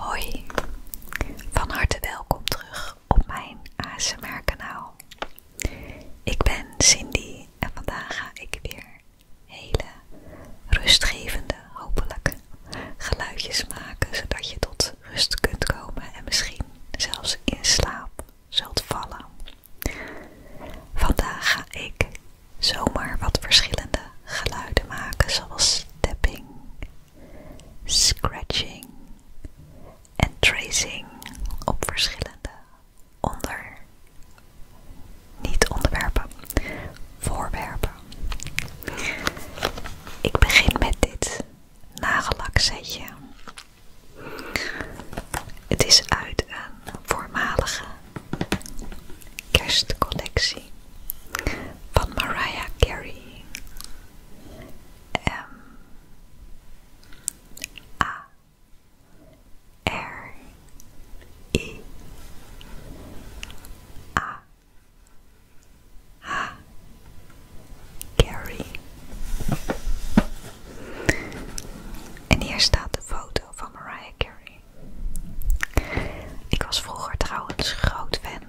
Hoi, van harte welkom terug op mijn ASMR kanaal. Ik ben Cindy en vandaag ga ik weer hele rustgevende, hopelijk, geluidjes maken zodat je tot rust kunt komen en misschien zelfs in slaap zult vallen. Vandaag ga ik zomaar wat verschillende geluiden maken zoals tapping, scratching en tracing op verschillende onder, niet onderwerpen, voorwerpen. Ik begin met dit nagellak Het is uit een voormalige kerstcollectie van Mariah Carey. Ehm, A A. A En hier staat de foto van Mariah Carey. Ik was vroeger trouwens groot fan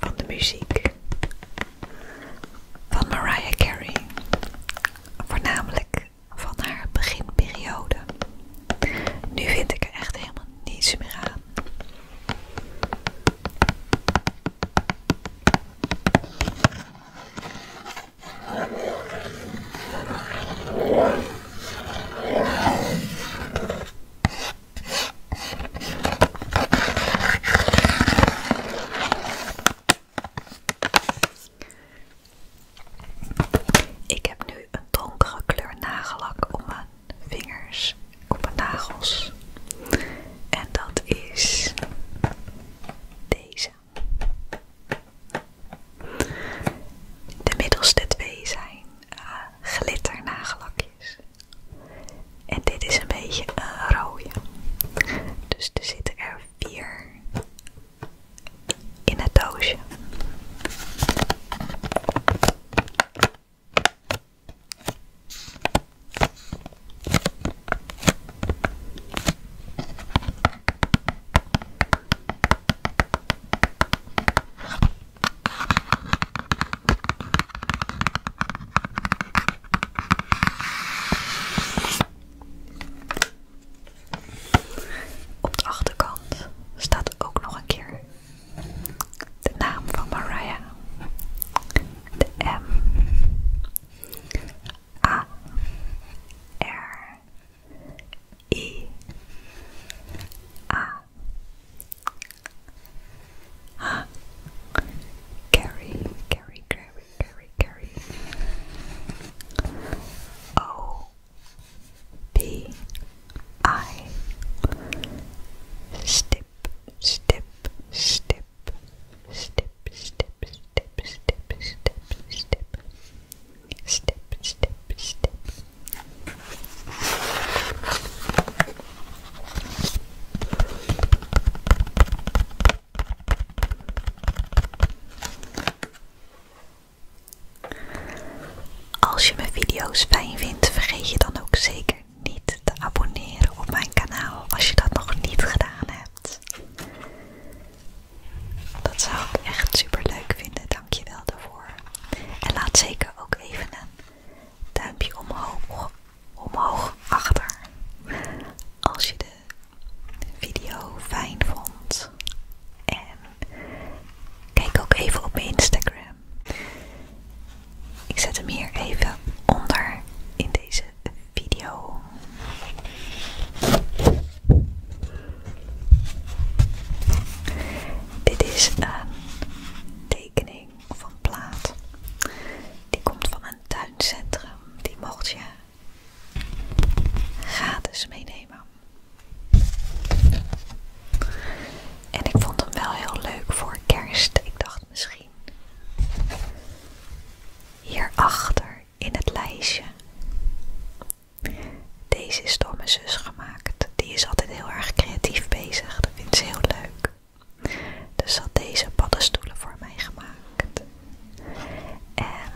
van de muziek van Mariah Carey, voornamelijk van haar beginperiode. Nu vind ik er echt helemaal niets meer aan. Ik heb nu een donkere kleur nagellak op mijn vingers, op mijn nagels. En dat is deze. De middelste twee zijn eh, glitter nagellakjes. En dit is een beetje een rode. Dus er zitten er vier in het doosje. Op de achterkant staat ook nog een keer de naam van Mariah. De M A R I A Ah, Gary, Gary, Gary, Gary, Gary. O B I. Step, step, step, step, step, step, step, step, step, step, step, step. Als je mijn video's fijn vindt, vergeet je dan ook zeker niet te abonneren op mijn kanaal als je dat nog niet gedaan hebt. Dat zou ik echt super leuk vinden, dankjewel daarvoor. En laat zeker ook even een duimpje omhoog, omhoog achter als je de video fijn vond. En kijk ook even op mijn Instagram. Ik zet hem hier even onder in deze video. Dit is een tekening of plaat. Die komt van een tuincentrum. Die mocht je gratis meenemen. En ik vond hem wel heel leuk voor kerst. Ik dacht misschien hierachter in het lijstje. Deze is door mijn zus gemaakt. Die is altijd heel erg creatief bezig. Dat vind ze heel leuk. Dus had deze paddenstoelen voor mij gemaakt. En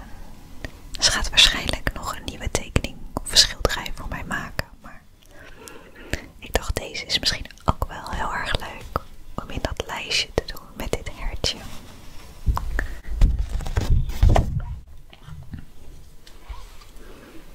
ze gaat waarschijnlijk nog een nieuwe tekening of schilderij voor mij maken. Maar ik dacht deze is misschien ook wel heel erg leuk om in dat lijstje te doen met dit hertje.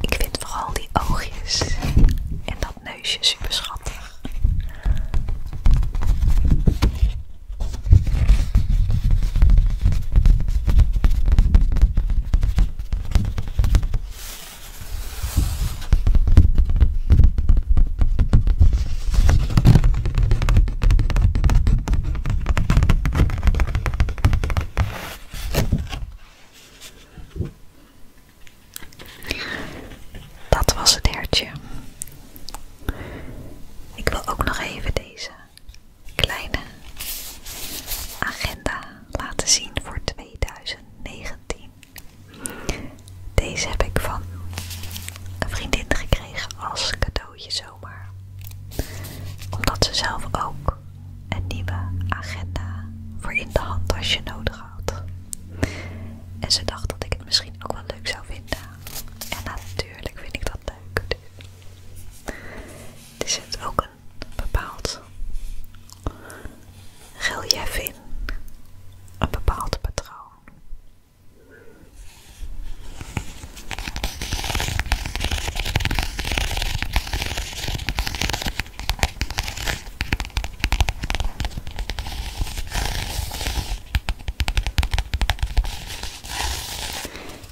Ik vind vooral die oogjes en dat neusje super schattig. Dat was het hertje. Ik wil ook nog even deze kleine agenda laten zien voor 2019. Deze heb ik van een vriendin gekregen als cadeautje zomaar. Omdat ze zelf ook een nieuwe agenda voor in de handtasje nodig had. En ze dacht dat ik het misschien ook wel leuk zou vinden. En natuurlijk vind ik dat leuk. Er zit ook een bepaald relief in, een bepaald patroon.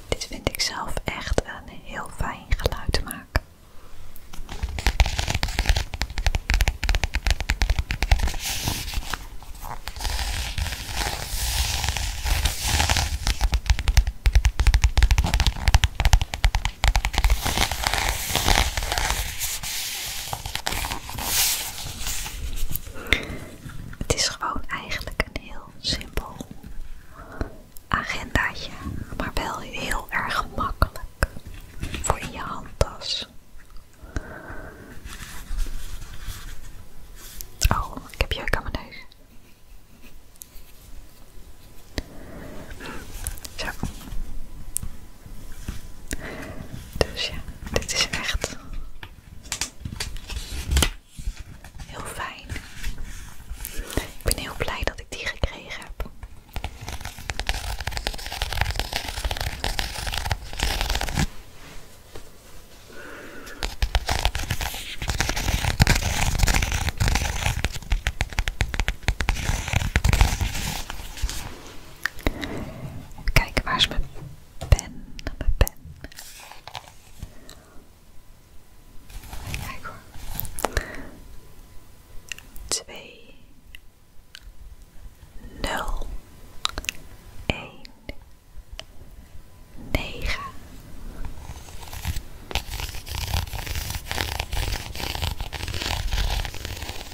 Dit vind ik zelf echt een heel fijn geluid te maken. Het is gewoon eigenlijk een heel simpel agendaatje, maar wel heel erg makkelijk voor je handtas. Oh, ik heb je ook aan mijn neus. Zo. Dus ja, dit is echt Heel fijn. Ik ben heel blij dat ik die gekregen heb. Kijk, waar is mijn pen, pen. Kijk hoor. Twee, nul, negen.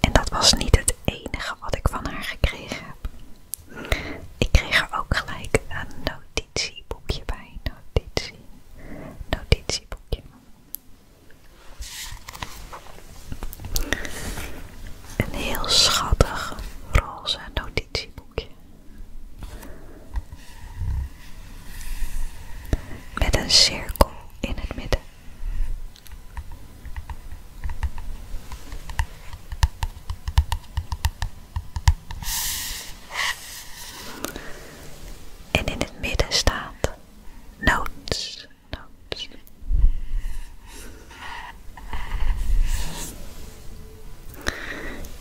En dat was niet het enige wat ik van haar gekregen heb. Ik kreeg er ook gelijk een notitieboekje bij. Notitie. Notitieboekje. Een heel schattig roze notitieboekje. Met een cirkel in het midden. En in het midden staat notes.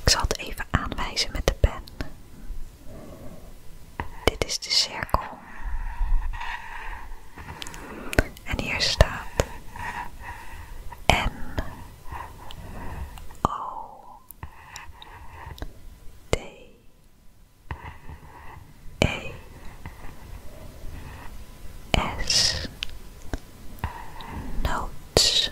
Ik zal het even aanwijzen met de pen. Dit is de cirkel. En hier staat N O D E S Notes.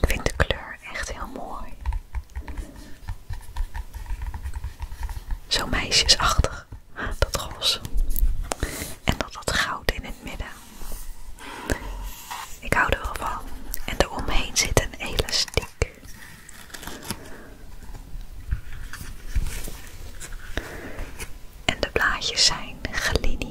Ik vind de kleur echt heel mooi. Zo meisjesachtig. Dat roze. En dat dat goud in het midden. Ik hou er wel van. En omheen zit een elastiek. En de blaadjes zijn gelineerd.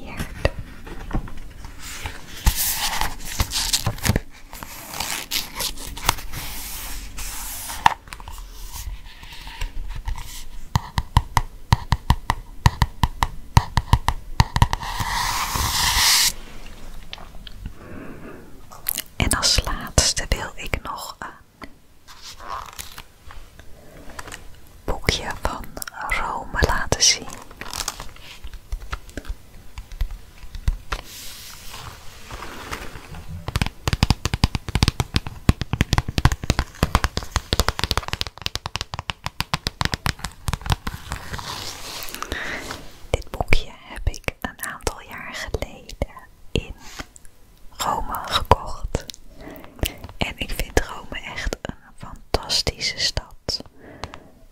En als laatste wil ik nog een boekje van Rome laten zien. Dit boekje heb ik een aantal jaar geleden in Rome gekocht. En ik vind Rome echt een fantastische stad.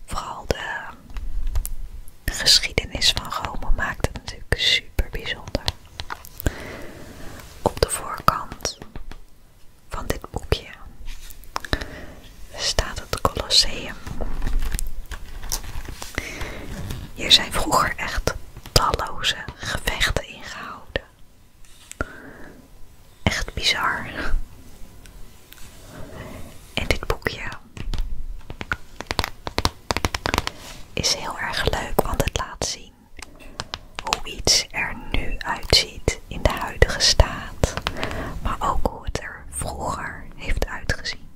Vooral de geschiedenis van Rome maakt het natuurlijk super bijzonder. Op de voorkant van dit boekje staat het Colosseum. Hier zijn vroeger echt talloze gevechten ingehouden. Echt bizar. En dit boekje is heel erg leuk, want het laat zien hoe iets er nu uitziet in de huidige staat, maar ook hoe het er vroeger heeft uitgezien.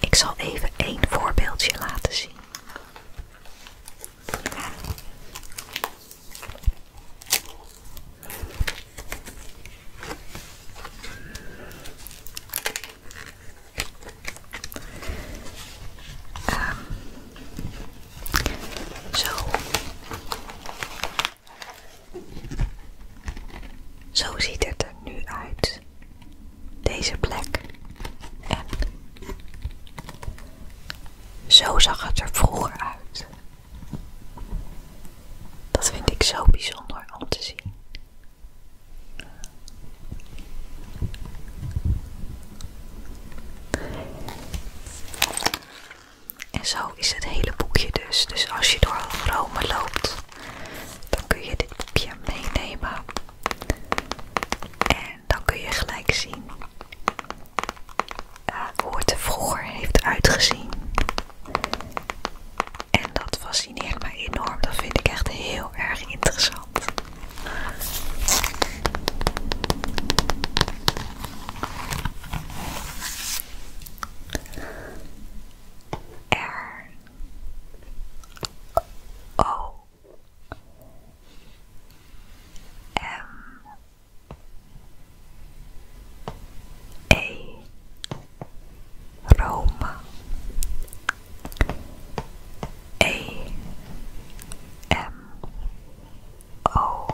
Ik zal even één voorbeeldje laten zien. Ehm, zo. Zo ziet het er nu uit. Deze plek. En zo zag het er vroeger uit. Dat vind ik zo bijzonder om te zien. En zo is het hele boekje dus. Dus als je door Rome loopt, dan kun je dit boekje meenemen. En dan kun je gelijk zien eh, hoe het er vroeger heeft uitgezien. En dat fascineert mij enorm. Dat vind ik echt heel erg interessant. E. Roma. E. M. O.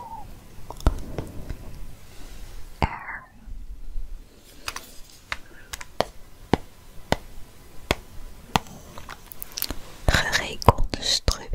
R. Gereconstrueerd.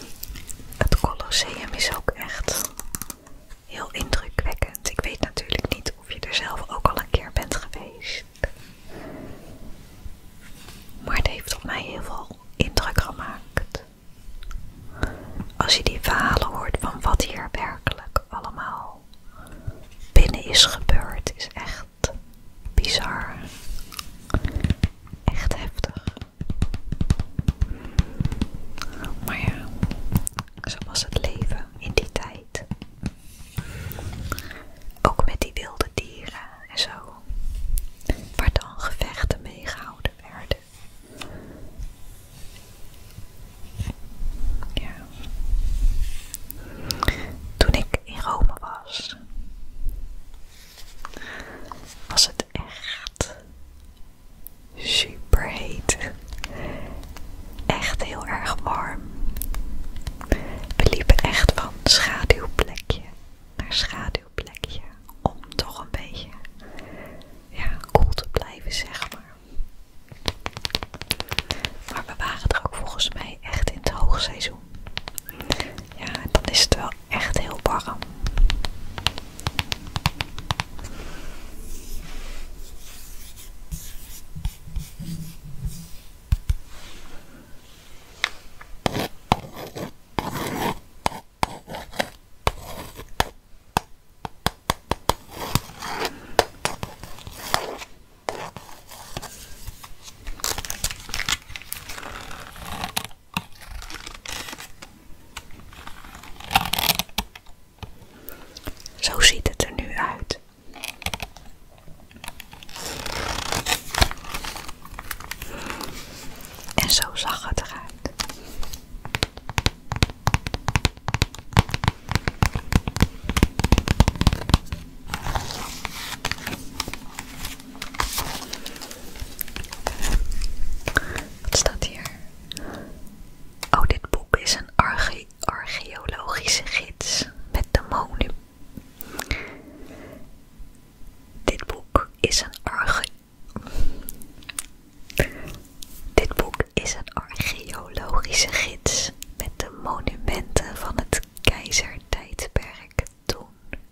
Het Colosseum is ook echt heel indrukwekkend. Ik weet natuurlijk niet of je er zelf ook al een keer bent geweest. Maar het heeft op mij heel veel indruk gemaakt. Als je die verhalen hoort van wat hier werkelijk allemaal binnen is gebeurd, is echt bizar. Echt heftig. Maar ja, zo was het leven in die tijd. Ook met die wilde dieren en zo, waar dan gevechten mee gehouden werden. Ja. Toen ik in Rome was, was het echt super heet. Echt heel erg warm. We liepen echt van schaduwplekje naar schaduwplekje om toch een beetje ja, koel te blijven, zeg maar. Maar we waren er ook volgens mij echt in het hoogseizoen. Ja, dan is het wel echt heel warm. Zo ziet het er nu uit. En zo zag het eruit. Wat staat hier? Oh, dit boek is een arche archeologische gids met de monumenten. Dit boek is een arche dit boek is een archeologische gids met de monumenten van het keizertijdperk toen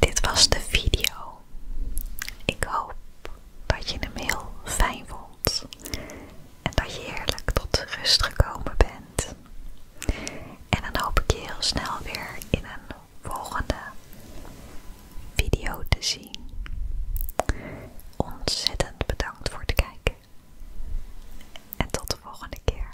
Dit was de video ik hoop dat je de mail fijn vond en dat je heerlijk tot rust gekomen bent. En dan hoop ik je heel snel weer in een volgende video te zien. Ontzettend bedankt voor het kijken en tot de volgende keer.